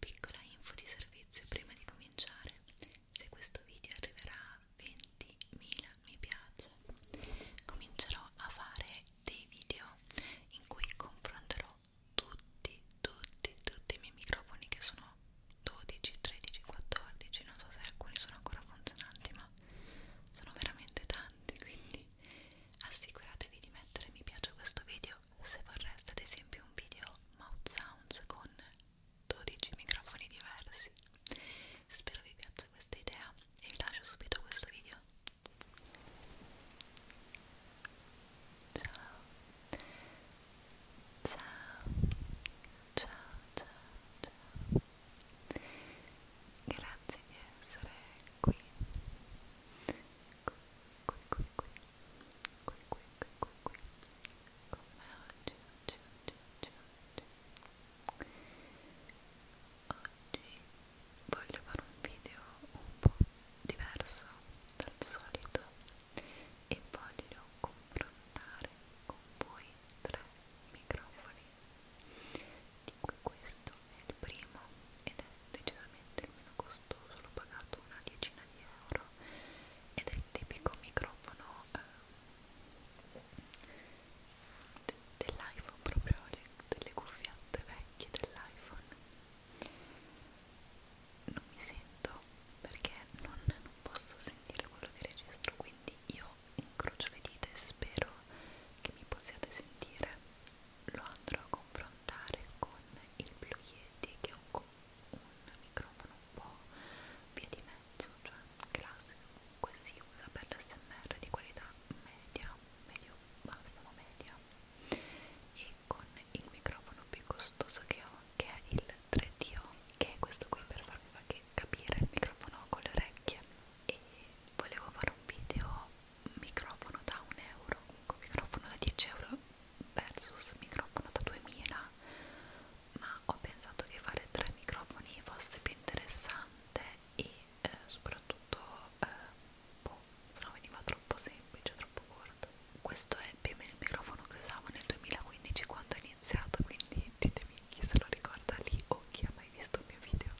Piccola info di servizio prima di cominciare, se questo video arriverà a 20.000 mi piace, comincerò a fare dei video in cui confronterò tutti, tutti, tutti i miei microfoni che sono 12, 13, 14, non so se alcuni sono ancora funzionanti ma sono veramente tanti quindi assicuratevi di mettere mi piace a questo video se vorreste ad esempio un video mouth sounds con 12 microfoni diversi spero vi piaccia questa idea e vi lascio subito questo video ciao ciao ciao ciao ciao grazie di essere qui qui qui qui qui qui qui qui qui qui con me oggi oggi oggi oggi oggi oggi voglio fare un video un po' diverso dal solito e voglio confrontare con voi tre microfoni di cui questo è il primo ed è decisamente il meno costoso, l'ho pagato una decina di euro ed è il tipico microfono eh, de dell'iPhone, proprio le, delle cuffiette vecchie dell'iPhone non mi sento perché non, non posso sentire quello che registro quindi io incrocio le dita e spero che mi possiate sentire. Lo andrò a confrontare con il Blue Yeti che è un, un microfono un po' via di mezzo, cioè classico, comunque si usa per l'SMR di qualità media, medio, massimo media e con il microfono più costoso che ho che è il 3DO che è questo qui per farvi capire il microfono con le orecchie e volevo fare un video microfono da 1 euro comunque microfono da 10 euro versus microfono da 2000 ma ho pensato che fare tre microfoni fosse più interessante e eh, soprattutto eh, boh, se no veniva troppo semplice, troppo corto questo è più o meno il microfono che usavo nel 2015 quando ho iniziato quindi ditemi chi se lo ricorda lì o chi ha mai visto il mio video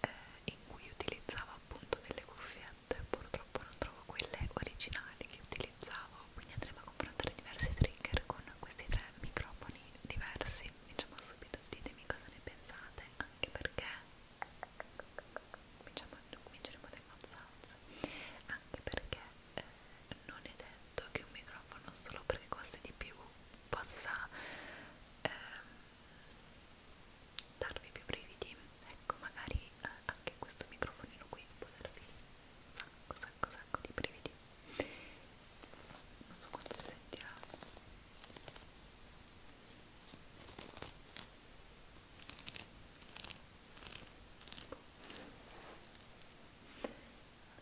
eh, in cui utilizzavo appunto delle cuffiette purtroppo non trovo quelle originali che utilizzavo quindi andremo a confrontare diversi trigger con questi tre microfoni diversi diciamo subito ditemi cosa ne pensate anche perché cominciamo, cominceremo dai consenso anche perché eh, non è detto che un microfono solo perché costa di più possa eh, darvi più brividi ecco magari eh, anche questo microfonino qui può darvi un sacco sacco sacco di brividi non so quanto si sentirà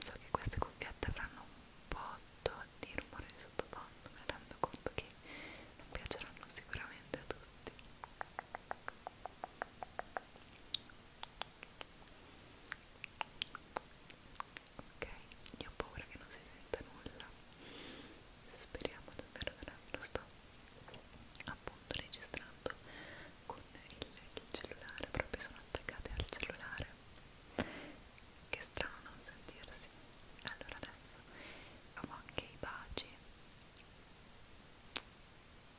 so che queste cuffiette avranno un po' di rumore di sottofondo, mi rendo conto che non piaceranno sicuramente a tutti ok io ho paura che non si senta nulla speriamo davvero che lo sto appunto registrando con il, il cellulare proprio sono attaccate al cellulare che strano non sentirsi allora adesso ho anche i baci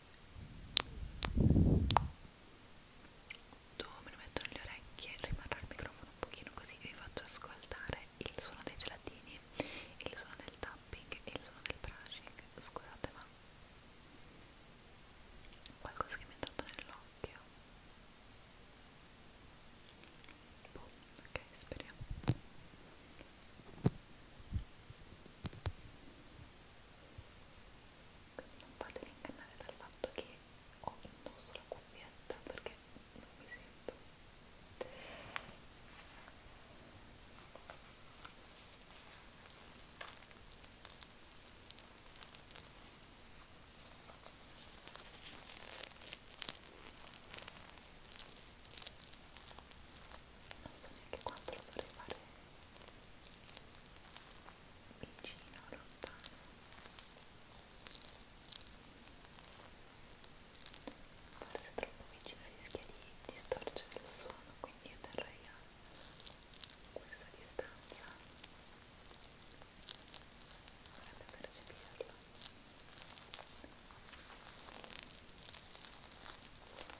dove me lo metto nelle orecchie rimarrà il microfono un pochino così vi faccio ascoltare il suono dei gelatini il suono del tapping e il suono del brushing scusate ma qualcosa che mi è entrato nell'occhio boh, ok speriamo quindi non fatemi ingannare dal fatto che ho indosso la cuffietta perché non mi sento non so neanche quanto lo vorrei fare vicino o lontano forse troppo vicino rischia di distorcere il suono quindi io terrei a questa distanza dovrebbe percepirlo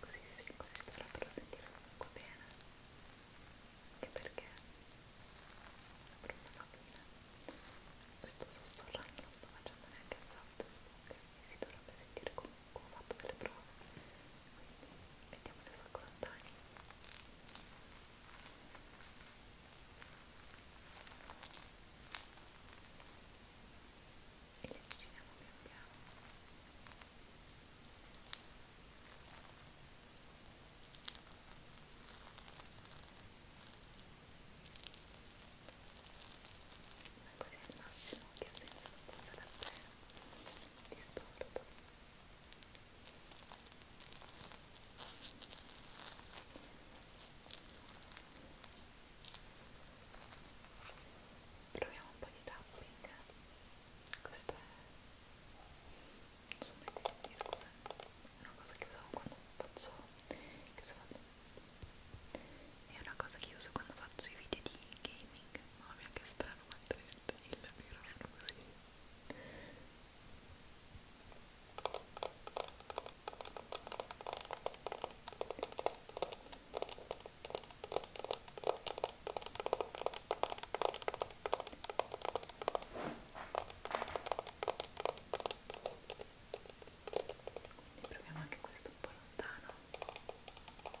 così si dovrebbero sentire comunque bene anche perché per una bambina sto sussurrando non sto facendo neanche il soft spoken e si dovrebbe sentire comunque ho fatto delle prove quindi mettiamo adesso con lontani ok e li avviciniamo pian piano ma così è il massimo che ha senso che possa davvero distorto Ora proviamo un po' di tapping questo è non so mai come dire cos'è è una cosa che usavo quando faccio che so, è una cosa che uso quando faccio i video di gaming mamma mia che strano quanto è il microfono così quindi proviamo anche questo un po' lontano e avviciniamolo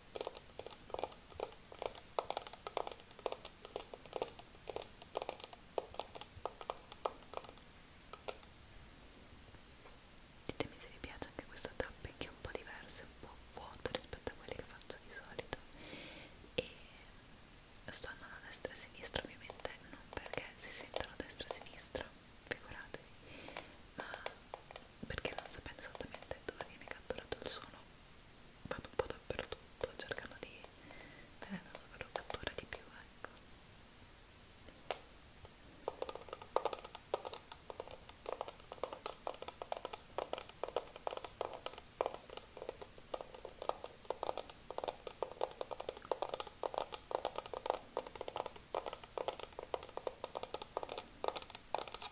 Ditemi se vi piace anche questo tapping che è un po' diverso, un po' vuoto rispetto a quelli che faccio di solito e sto andando a destra e a sinistra ovviamente non perché si sentono a destra e a sinistra, figuratevi, ma perché non sapendo esattamente dove viene catturato il suono vado un po' dappertutto cercando di vedere eh, dove lo cattura di più ecco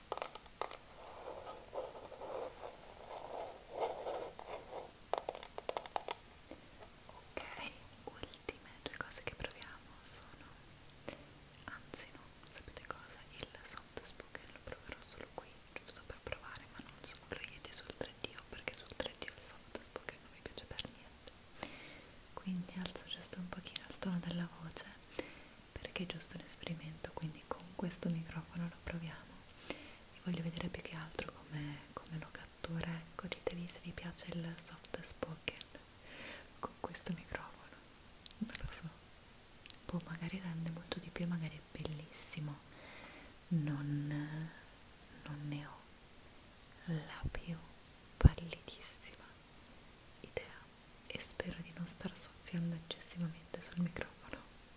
Ok, ultime due cose che proviamo sono, anzi no, sapete cosa? Il soft spoken lo proverò solo qui, giusto per provare, ma non so, lo iedi sul 3D perché sul 3D il soft spoken non mi piace per niente. Quindi alzo giusto un pochino il tono della voce perché è giusto l'esperimento quindi con questo microfono lo proviamo vi voglio vedere più che altro come, come lo cattura ecco ditevi se vi piace il soft spoken con questo microfono non lo so boh magari rende molto di più magari è bellissimo non, non ne ho la più pallidissima idea e spero di non star soffiando eccessivamente sul microfono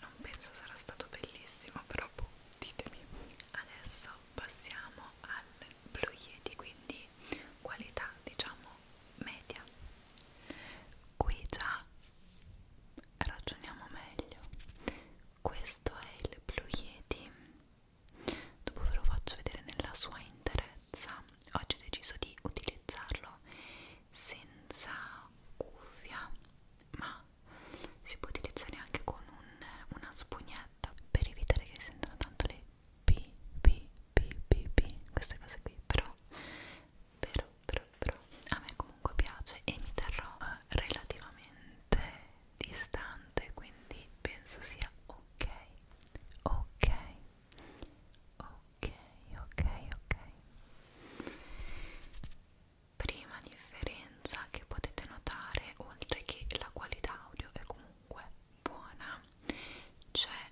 Non penso sarà stato bellissimo, però boh, ditemi. Adesso passiamo al Blue Yeti, quindi qualità diciamo media. Qui già ragioniamo meglio. Questo è il Blue Yeti. Dopo ve lo faccio vedere nella sua intera bellezza oggi ho deciso di utilizzarlo senza cuffia ma si può utilizzare anche con un, una spugnetta per evitare che sentano tanto le p p p p p queste cose qui però però però però a me comunque piace e mi terrò eh, relativamente distante quindi penso sia ok ok ok ok ok prima differenza che potete notare oltre che la qualità audio è comunque buona c'è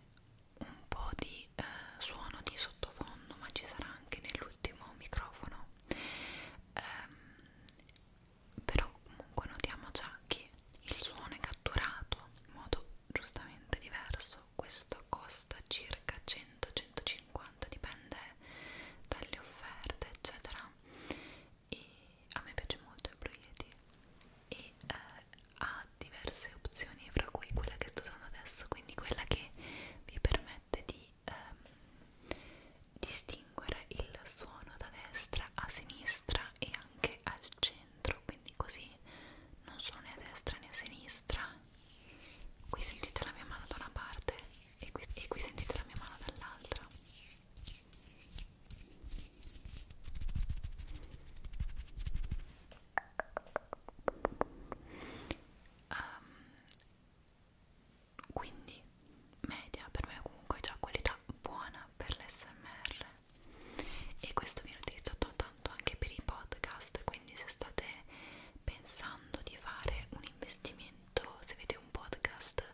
un po' di eh, suono di sottofondo ma ci sarà anche nell'ultimo microfono ehm, però comunque notiamo già che il suono è catturato in modo giustamente diverso questo costa circa 100-150 dipende dalle offerte eccetera e a me piace molto il Blue Yeti e eh, ha diverse opzioni fra cui quella che sto usando adesso quindi quella che vi permette di ehm, distinguere il suono da destra a sinistra e anche al centro centro quindi così non sono né a destra né a sinistra qui sentite la mia mano da una parte e qui, e qui sentite la mia mano dall'altra Um, quindi media per me comunque è già qualità buona per l'SMR e questo viene utilizzato tanto anche per i podcast quindi se state pensando di fare un investimento se avete un podcast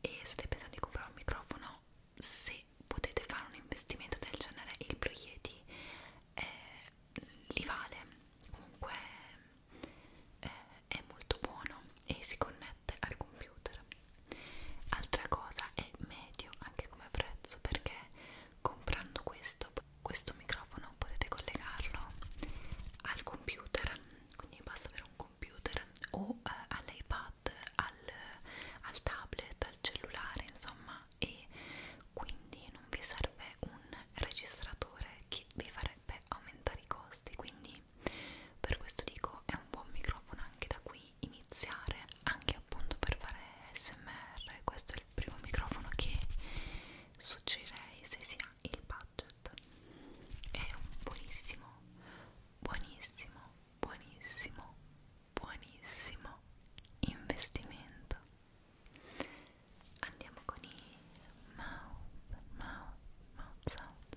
e state pensando di comprare un microfono se potete fare un investimento del genere il Blue Yeti eh, li vale comunque eh, è molto buono e si connette al computer altra cosa è medio anche come prezzo perché comprando questo, questo microfono potete collegarlo al computer quindi basta avere un computer o eh, all'iPad al, al tablet al cellulare insomma e quindi non vi serve un registratore che vi farebbe aumentare i costi quindi per questo dico è un buon microfono anche da qui iniziare anche appunto per fare smr questo è il primo microfono che suggerirei se si ha il budget è un buonissimo buonissimo buonissimo buonissimo investimento andiamo con i mouth mouth mouth sound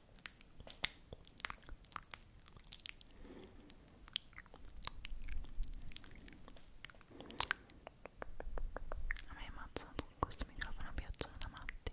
A me ammazza questo microfono piacciono da matti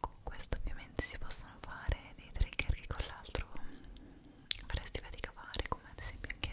Con questo ovviamente si possono fare dei trigger che con l'altro faresti faticare come ad esempio anche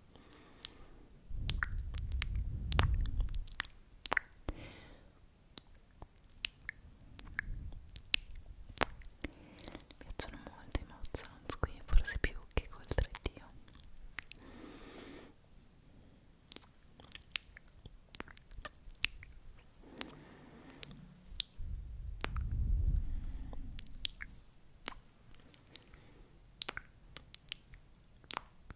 Mi piacciono molto i mouth sounds qui, forse più che col 3D.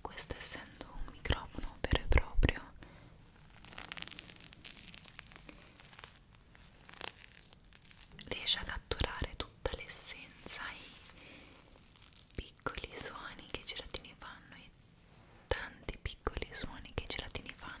Questo essendo un microfono vero e proprio riesce a catturare tutta l'essenza, i piccoli suoni che i gelatini fanno, i tanti piccoli suoni che i gelatini fanno.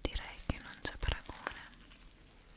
Direi che non c'è paragone.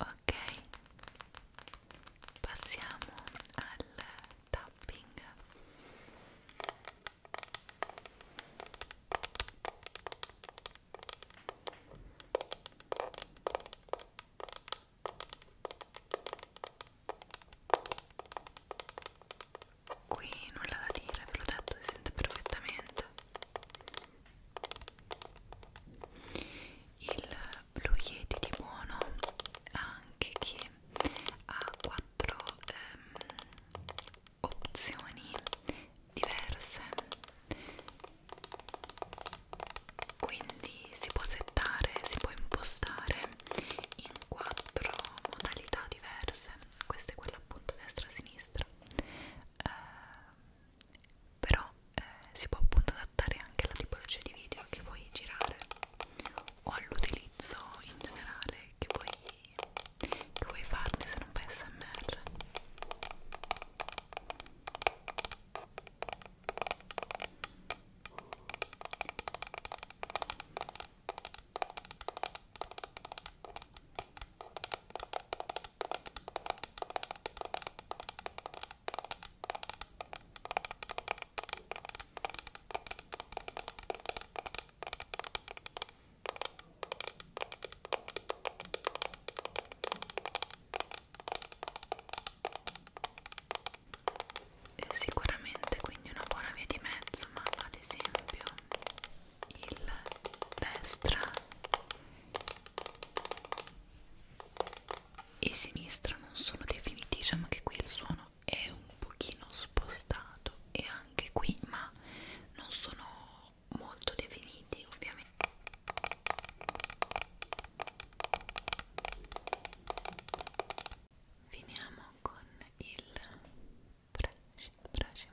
ok passiamo al tapping Qui nulla da dire, ve l'ho detto, si sente perfettamente il Blue Yeti di buono anche che ha quattro ehm, opzioni diverse quindi si può settare, si può impostare in quattro modalità diverse questa è quella appunto destra-sinistra eh, però eh, si può appunto adattare anche alla tipologia di video che vuoi girare o all'utilizzo in generale che vuoi, che vuoi farne se non fai smr Sicuramente quindi una buona via di mezzo, ma ad esempio il destra e sinistra non sono definiti diciamo che qui il suono è un pochino spostato e anche qui ma non sono molto definiti ovviamente finiamo con il brushing brushing brushing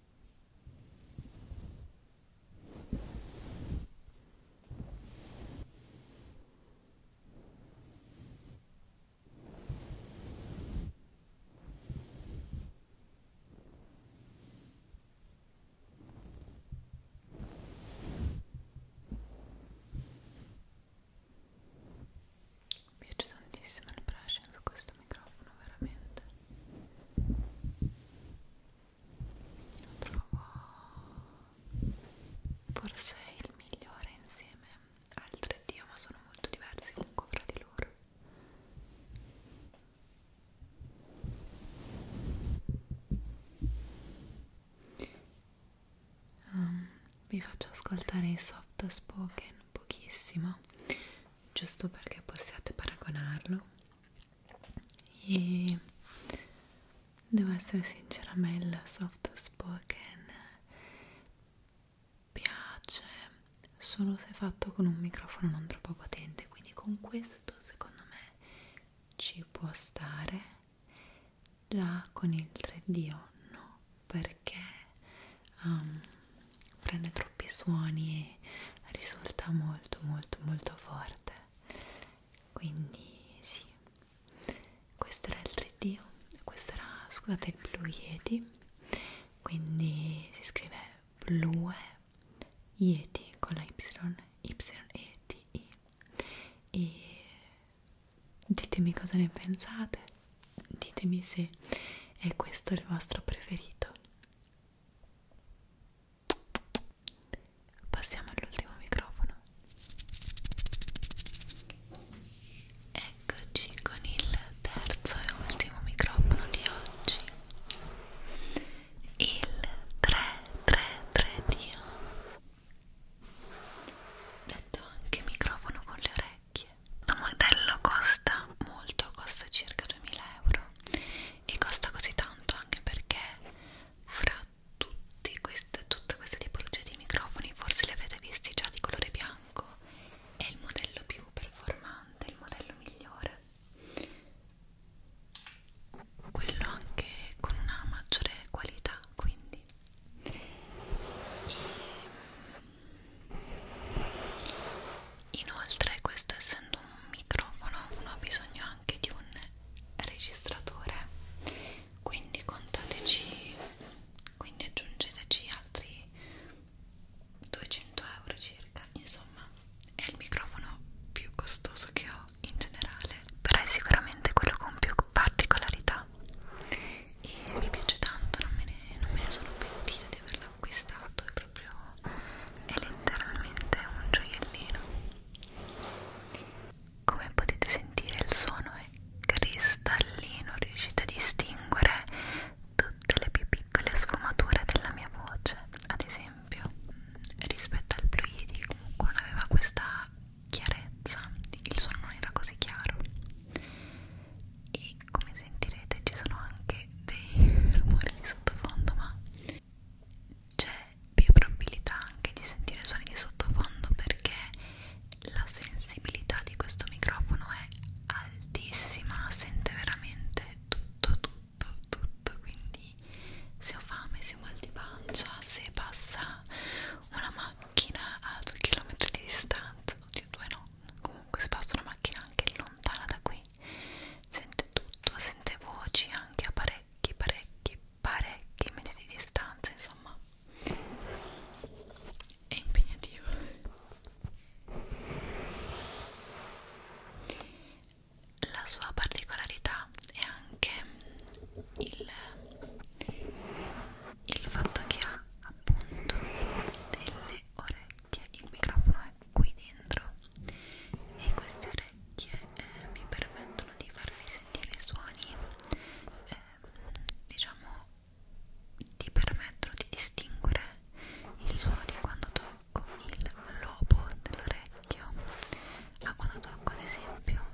Mi piace tantissimo il brushing su questo microfono, veramente lo trovo forse il migliore insieme al 3D ma sono molto diversi comunque fra di loro um, vi faccio ascoltare i soft spoken pochissimo giusto perché possiate paragonarlo e devo essere sincera a me il soft spoken piace solo se fatto con un microfono non troppo potente quindi con questo secondo me ci può stare già con il 3D o no perché um, prende troppi suoni e risulta molto molto molto forte quindi sì questo era il 3D questo era scusate il blu yeti quindi si scrive blu yeti con la y y e t i e ditemi cosa ne pensate ditemi se è questo il vostro preferito Passiamo all'ultimo microfono. Eccoci con il terzo e ultimo microfono di oggi. Il 333 Dio. Detto anche microfono con le orecchie. Questo modello costa molto, costa circa 2000 euro e costa così tanto anche perché fra tutti queste, tutte queste tipologie di microfoni forse li avrete visti già di colore bianco è il modello più performante, il modello migliore quello anche con una maggiore qualità quindi e... Inoltre, questo essendo un microfono uno ha bisogno anche di un registratore quindi contateci quindi aggiungeteci altri 200 euro circa insomma è il microfono più costoso che ho in generale però è sicuramente quello con più particolarità e mi piace tanto non me ne, non me ne sono pentita di averla acquistato è proprio è letteralmente un gioiellino come potete sentire il suono è cristallino riuscite a distinguere tutte le più piccole sfumature della mia voce ad esempio rispetto al Blue Yeti comunque non aveva questa chiarezza il suono non era così chiaro e come sentirete ci sono anche dei rumori di sottofondo ma c'è più probabilità anche di sentire suoni di sottofondo perché la sensibilità di questo microfono è altissima sente veramente tutto tutto tutto quindi se ho fame se ho mal di pancia se passa una macchina a 2 km di distanza oddio due no comunque se passa una macchina anche lontana da qui sente tutto, sente voci anche a parecchi, parecchi, parecchi metri di distanza, insomma è impegnativo la sua particolarità è anche il, il fatto che ha appunto delle orecchie orecchie, il microfono è qui dentro e queste orecchie eh, mi permettono di farvi sentire suoni, eh, diciamo, ti permettono di distinguere il suono di quando tocco il lobo dell'orecchio a quando tocco ad esempio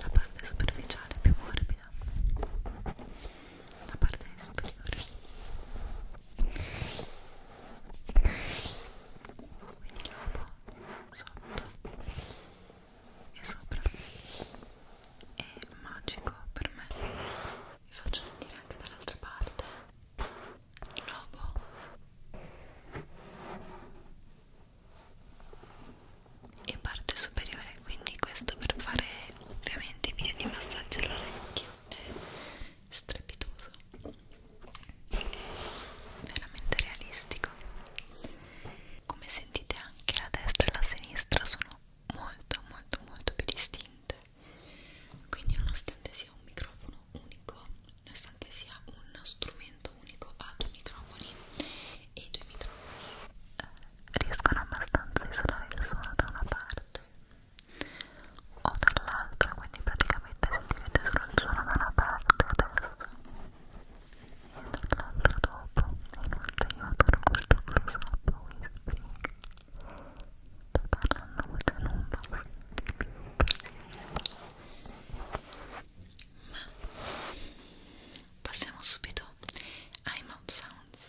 la parte superficiale più morbida la parte superiore quindi lo po' sotto e sopra è magico per me vi faccio sentire anche dall'altra parte il lobo e parte superiore quindi questo per fare ovviamente i video di massaggio all'orecchio è strepitoso veramente realistico come sentite anche la destra e la sinistra sono molto molto molto più distinte quindi nonostante sia un microfono unico nonostante sia un strumento unico ha due microfoni e i due microfoni eh, riescono abbastanza a isolare il suono da una parte o dall'altra quindi praticamente sentirete solo il suono da una parte adesso e dall'altra dopo inoltre io adoro questo close up whispering sto parlando voce non basta ma passiamo subito ai mouth sounds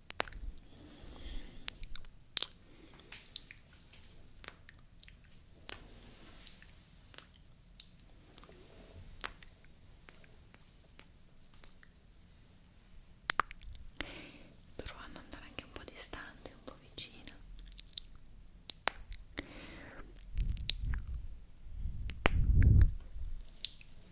Provo ad andare anche un po' distante, un po' vicino. Ecco.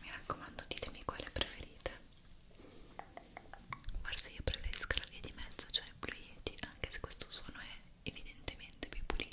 Mi raccomando, ditemi quale preferite. Forse io preferisco la via di mezzo, cioè Blue Yeti, anche se questo suono è evidentemente più pulito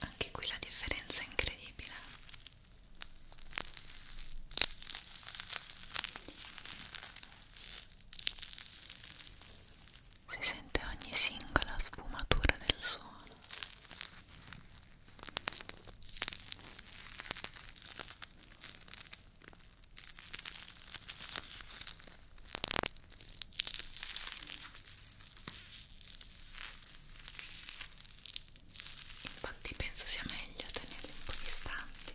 anche qui la differenza è incredibile si sente ogni singola sfumatura del suono Infatti penso sia meglio tenerli un po' distanti.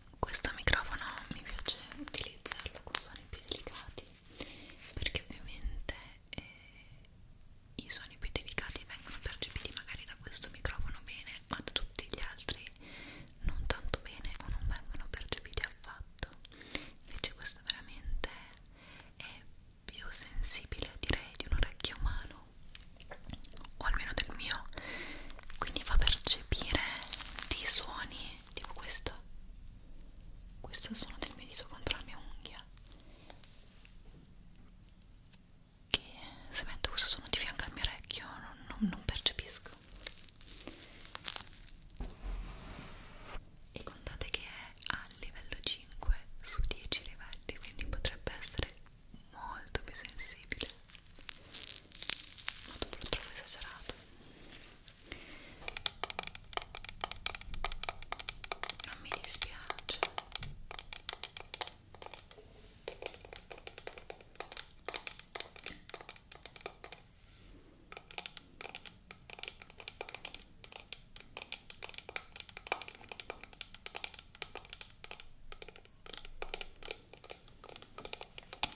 questo microfono mi piace utilizzarlo con suoni più delicati perché ovviamente eh, i suoni più delicati vengono percepiti magari da questo microfono bene ma da tutti gli altri non tanto bene o non vengono percepiti affatto invece questo veramente è più sensibile direi di un orecchio umano o almeno del mio quindi fa percepire dei suoni tipo questo questo è il suono del mio dito contro la mia unghia che se metto questo suono di fianco al mio orecchio non, non, non percepisco e contate che è a livello 5 su 10 livelli quindi potrebbe essere molto più sensibile ma dopo lo trovo esagerato non mi dispiace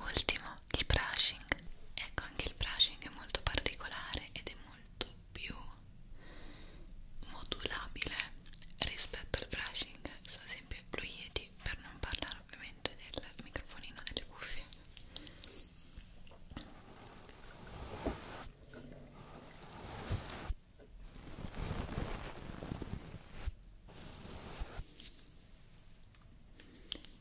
ultimo il brushing ecco anche il brushing è molto particolare ed è molto più modulabile rispetto al brushing so ad esempio lo ieti per non parlare ovviamente del microfonino delle cuffie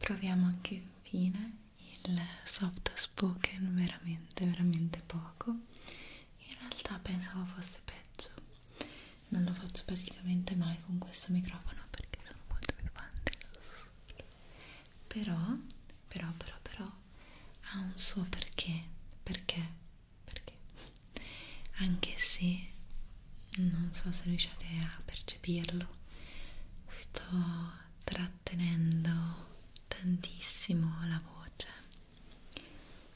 Proviamo anche infine il soft spoken veramente veramente poco in realtà pensavo fosse peggio non lo faccio praticamente mai con questo microfono perché sono molto più fante però però però però ha un suo perché perché perché anche se non so se riuscite a percepirlo sto trattenendo tantissimo la voce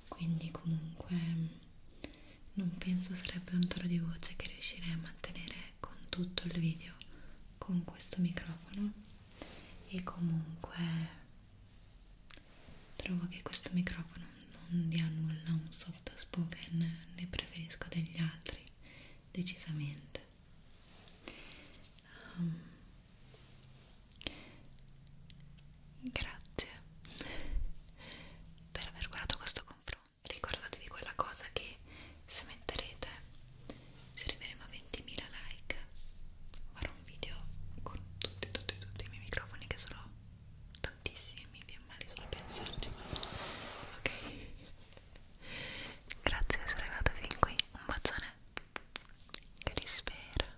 quindi comunque non penso sarebbe un tono di voce che riuscirei a mantenere con tutto il video con questo microfono e comunque trovo che questo microfono non dia nulla un soft spoken ne preferisco degli altri decisamente um, Grazie per aver guardato questo confronto. Ricordatevi quella cosa che se metterete, se arriveremo a 20.000 like, farò un video con tutti, tutti, tutti i miei microfoni che sono tantissimi, mi viene male solo pensarci. Ok? Grazie di essere arrivato fin qui, un bacione che ti spera.